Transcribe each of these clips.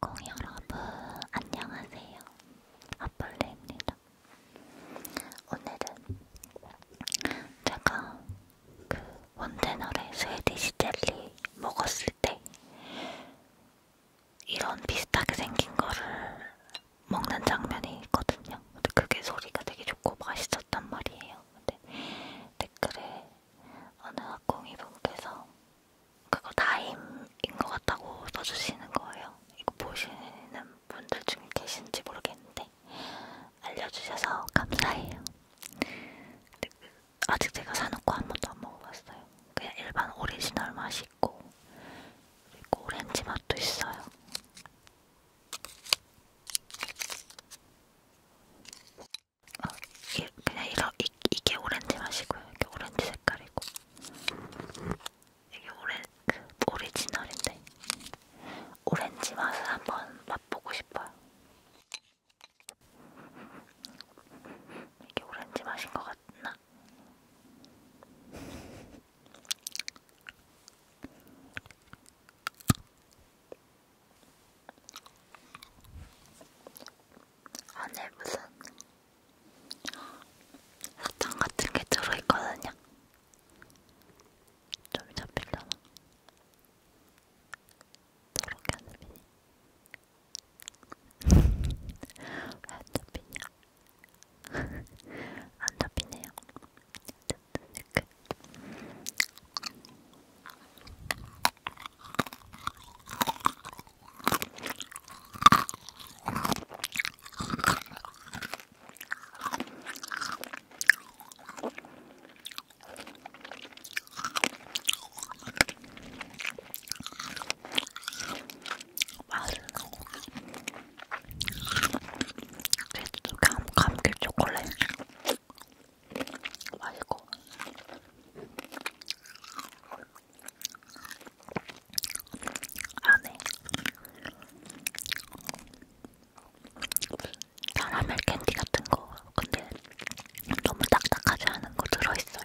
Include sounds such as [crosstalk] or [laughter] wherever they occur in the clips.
콩 여러분 안녕하세요. 아폴레입니다. 오늘은 제가 그 원데너의 스웨디시 젤리 먹었을 때 이런 비슷하게 생긴 거를 먹는 장면이 있거든요. 근데 그게 소리가 되게 좋고 맛있어. 있었단 말이에요. 근데 댓글에 어느 학공이분께서 그거 다임인 것 같다고 써주시는 거예요. 이거 보시는 분들 중에 계신지 모르겠는데 알려주셔서 감사해요. 근데 아직 제가 사놓고 한 번도 안 먹어봤어요. 그냥 일반 오리지널 맛이 있고 그리고 오렌지 맛도 있어요. 어, 이, 그냥 이러, 이, 이게 오렌지 맛이고요. 이게 오렌지 색깔이고. 이게 오렌, 그 오리지널인데. 오렌지 맛을 한번 맛보고 싶어요. 이게 오렌지 맛인 것 같나? 안에 무슨 사탕 같은 게 들어있거든요. 좀 잡히려나? 저렇게 안 잡히니? [laughs] 왜안 잡히냐? [laughs] 안 잡히네요. 이렇게. 맛있는 그래도 감, 감귤 초콜릿 맛있고 안에 카라멜 캔디 같은 거 근데 너무 딱딱하지 않은 거 들어있어요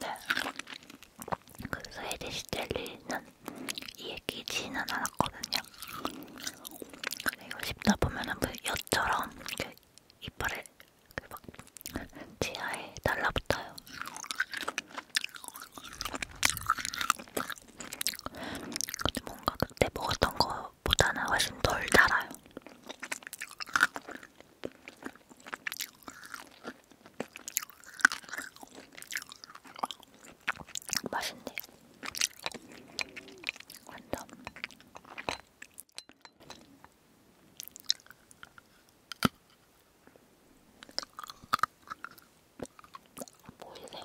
네. 그 스웨디시 젤리는 이에 끼지는 않았거든요. 근데 이거 씹다 보면은 그 엿처럼 이렇게 그 이빨에 그막 치아에 달라붙어요. 근데 뭔가 그때 먹었던 거 보다는 훨씬 덜 달아요. 맛있네. 완전. 보이세요?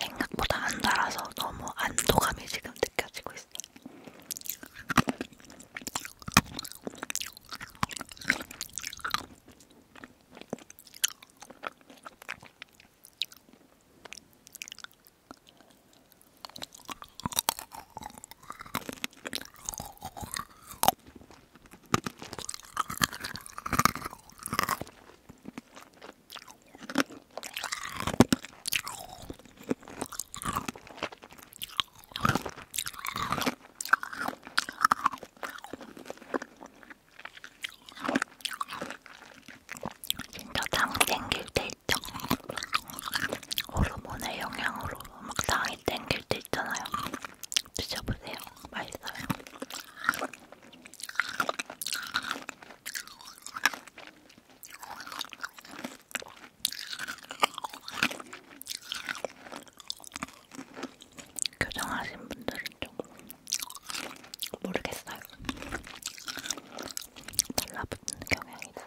생각보다 안 달아서 너무 안도감이 지금 느껴지고 있어. 진짜 당 땡길 때 있죠. 호르몬의 영향으로 막 당이 땡길 때 있잖아요. 드셔보세요. 맛있어요. 교정하신 분들은 좀 모르겠어요. 달라붙는 경향이 있어요.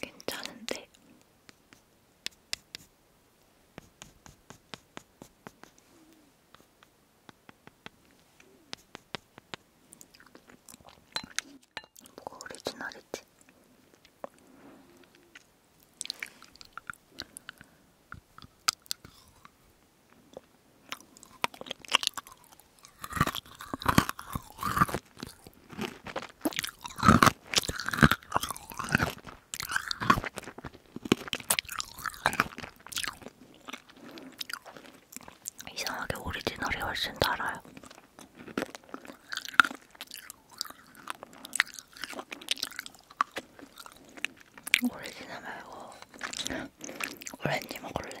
괜찮은데? 뭐가 오리지널이지? 이상하게 오리지널이 훨씬 달아요. 오리지널 말고 [laughs] 오렌지 먹을래.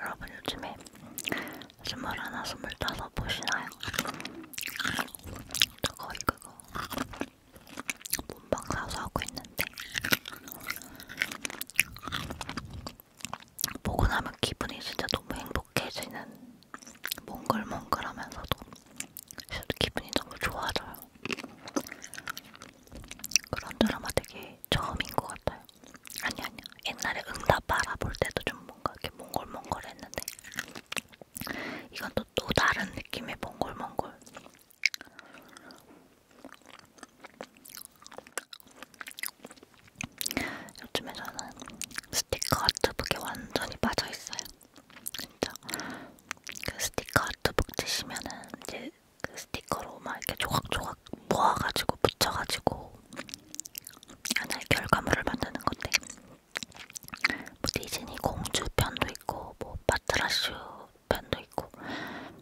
여러분 요즘에 스물 하나 스물다섯 보시나요? 저 거의 그거 문방 사서 하고 있는데 보고 나면 기분이 진짜 너무 행복해지는 몽글몽글하면서도 진짜 기분이 너무 좋아져요. 그런 드라마 되게 처음인 것 같아요. 아니 아니 옛날에 응답 알아볼 때도 좀 뭔가 이렇게 몽글몽글했는데 이건 또, 또 다른 느낌의 몽글몽글. 요즘에 저는 스티커 아트북에 완전히 빠져있어요. 진짜 그 스티커 아트북 치시면은 이제 그 스티커로 막 이렇게 조각조각 모아가지고 붙여가지고 하나의 결과물을 만드는 건데 뭐 디즈니 공주 편도 있고 뭐 파트라슈 편도 있고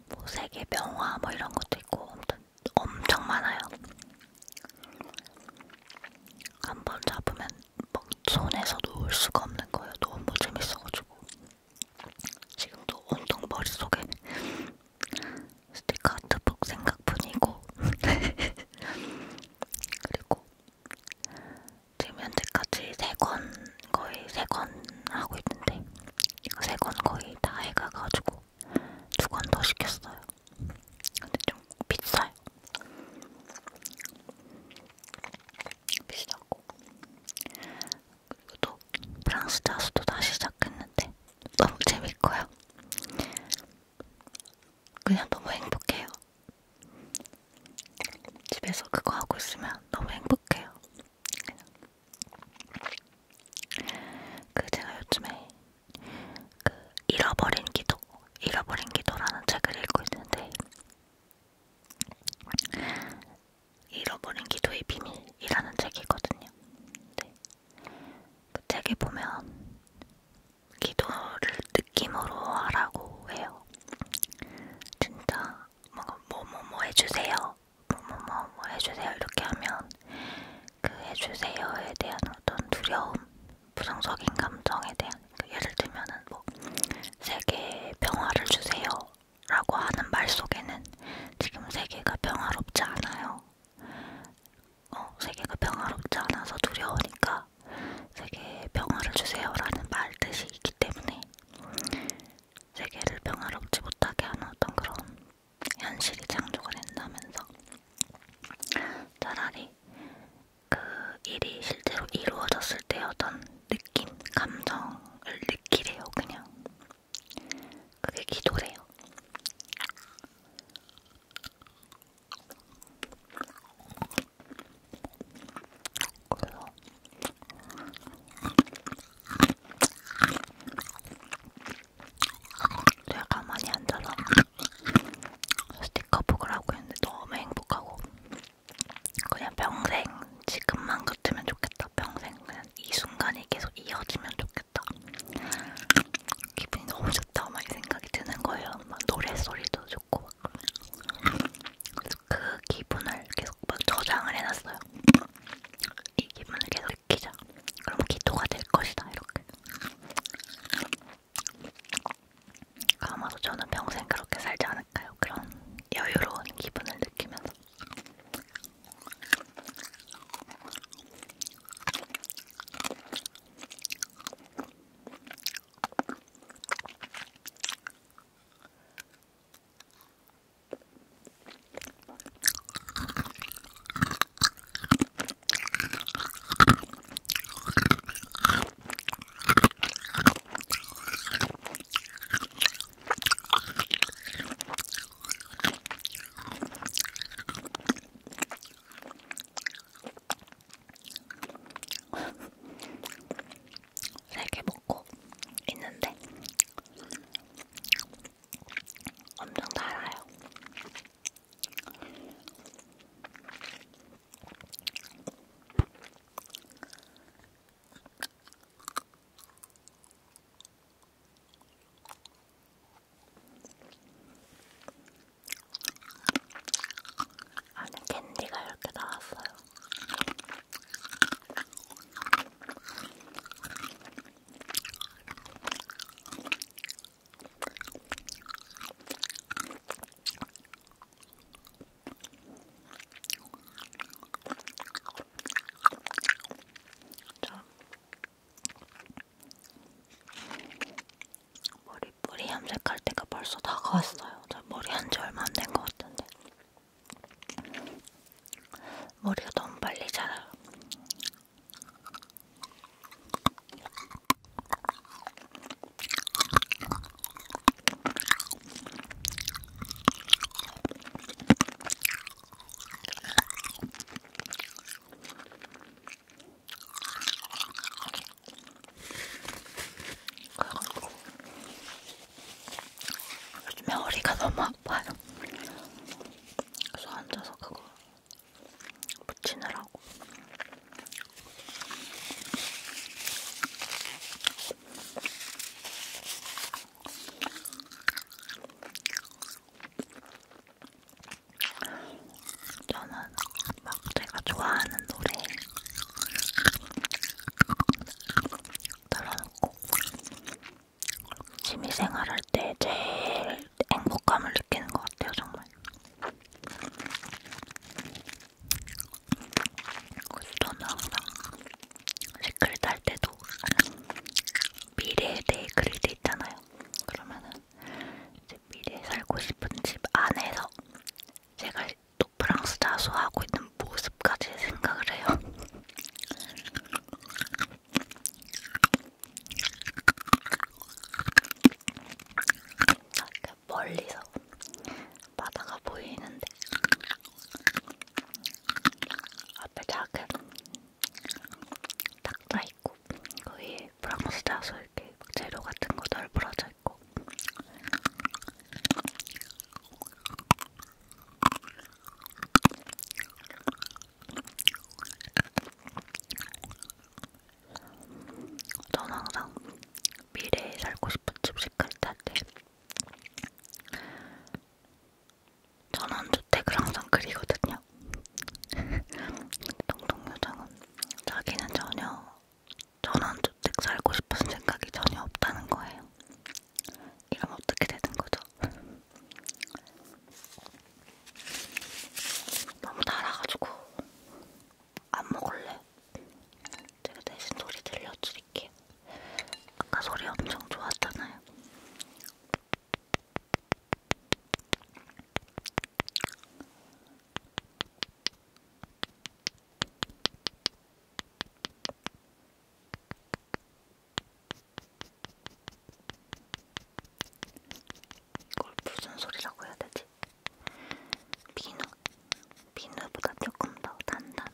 뭐 세계 명화 뭐 이런 것도 있고 아무튼 엄청 많아요. 한 번 잡으면 막 손에서 놓을 수가 없는 거예요. 너무 재밌어가지고 지금도 온통 머릿속에 스티커 아트북 생각뿐이고 [laughs] 그리고 지금 현재까지 세 권 거의 세 권 하고 있는데 세 권 거의 다 해가가지고 두건더 시켰어요. 근데 좀 비싸요. 비싸고 그리고 또 프랑스 자수도 다시 시작했는데 너무 재밌고요. 그냥 너무 행복해요. 집에서 그거 하고 있으면 너무 행복해요. 그냥. 그 제가 요즘에 그 잃어버린 기도, 잃어버린 기도라는 책을 읽고 있는데 잃어버린 기도의 비밀이라는 책이거든요. 네. 그 책에 보면 기도를 느낌으로 하라고 해요. 진짜 뭐뭐 뭐 해주세요, 뭐뭐뭐 뭐 해주세요 이렇게 하면 그 해주세요에 대한 어떤 두려움, 부정적인 감정에 대한 그 예를 들면은 뭐 세계 평화를 주세요라고 하는 말 속에는 지금 세계가 평화롭지 않아요. 어, 세계가 평화롭지 않아서 두려우니까 세계 평화를 주세요라는 말 뜻이 있기 때문에 세계를 평화롭지 못하게 하는 어떤 그런 현실이 창조가 된다면서 차라리 그 일이 실제로 이루어졌을 때 어떤 느낌, 감정을 느끼래요, 그냥. 그게 기도래요. 그래서 제가 가만히 앉아서 스티커북을 하고 있는데 너무 행복하고 그냥 평생 지금만 같으면 좋겠다. 평생 그냥 이 순간이 계속 이어지면 좋겠다. 기분이 너무 좋다. 막이 생각이 드는 거예요. 막 노래소리도 좋고 막. 그래서 그 기분을 계속 막 저장을 해놨어요. 이 기분을 계속 느끼자. 그럼 기토가 될 것이다. 이렇게. 아마도 저는 평생 그렇게 살지 않을까요? 그런 여유로운 기분을 느끼면서. 세개 먹고 있는데 엄청 달아요. 안에 캔디가 이렇게 나왔어요. 좀 머리 뿌리 염색할 때가 벌써 다가왔어요. 저 머리 한 지 얼마 안 된 것 같은데 머리가 너무 빨리 자라요. 요즘에 허리가 너무 아파요. 소 앉아서 그거 붙이느라고. 저는 막 제가 좋아하는 노래 들어놓고 취미생활할 때 제일 행복감을 느끼는 것 같아요, 정말. 저는 항상 댓글 달 때도 미래에 대해 글이 돼 있잖아요. 그러면은 이제 미래에 살고 싶은 집 안에서 제가 또 프랑스 자수하고 있는 모습까지 생각을 해요. 이렇게 멀리서 바다가 보이는데 앞에 작은 닭다 있고 거의 프랑스 다소 이렇게 재료 같은 거 널브러져 있고 저는 항상 미래에 살고 싶은 집식할 때 전원주택을 항상 그리거든요. [laughs] 동동요정은 자기는 전혀 전원주택 살고 싶은 생각이 전혀 없다는 거예요. 이러면 어떻게 되는 거죠? 너무 달아가지고 안 먹을래. 제가 대신 소리 들려드릴게요. 아까 소리 엄청 좋았잖아요. 이걸 무슨 소리라고 해야 되지? 비누, 비누보다 조금 더 단단한.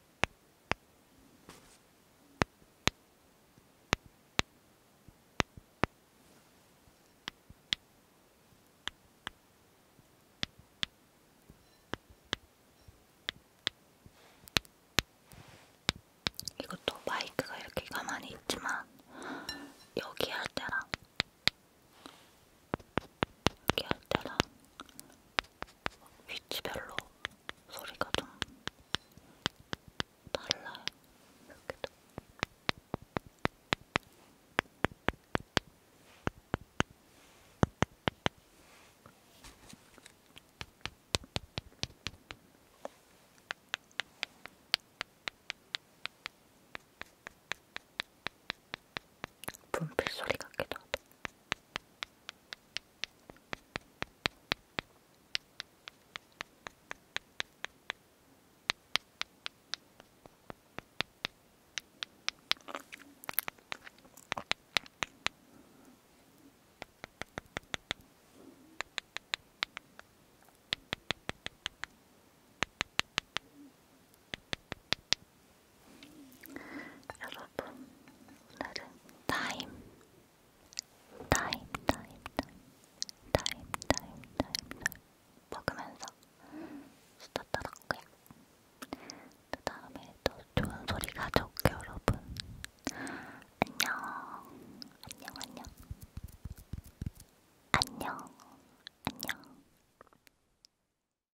이것도 마이크가 이렇게 가만히 있지만 여기 할 때랑 여기 할 때랑 위치별로 소리가 좀 달라요. 여기도. 분필 소리 같기도 하다. 여러분, 오늘은 타임, 타임, 타임, 타임, 타임, 타임, 타임, 타임 먹으면서 수다 떨었고요. 그 다음에 또 좋은 소리 가져올게요, 여러분. 안녕, 안녕, 안녕, 안녕, 안녕.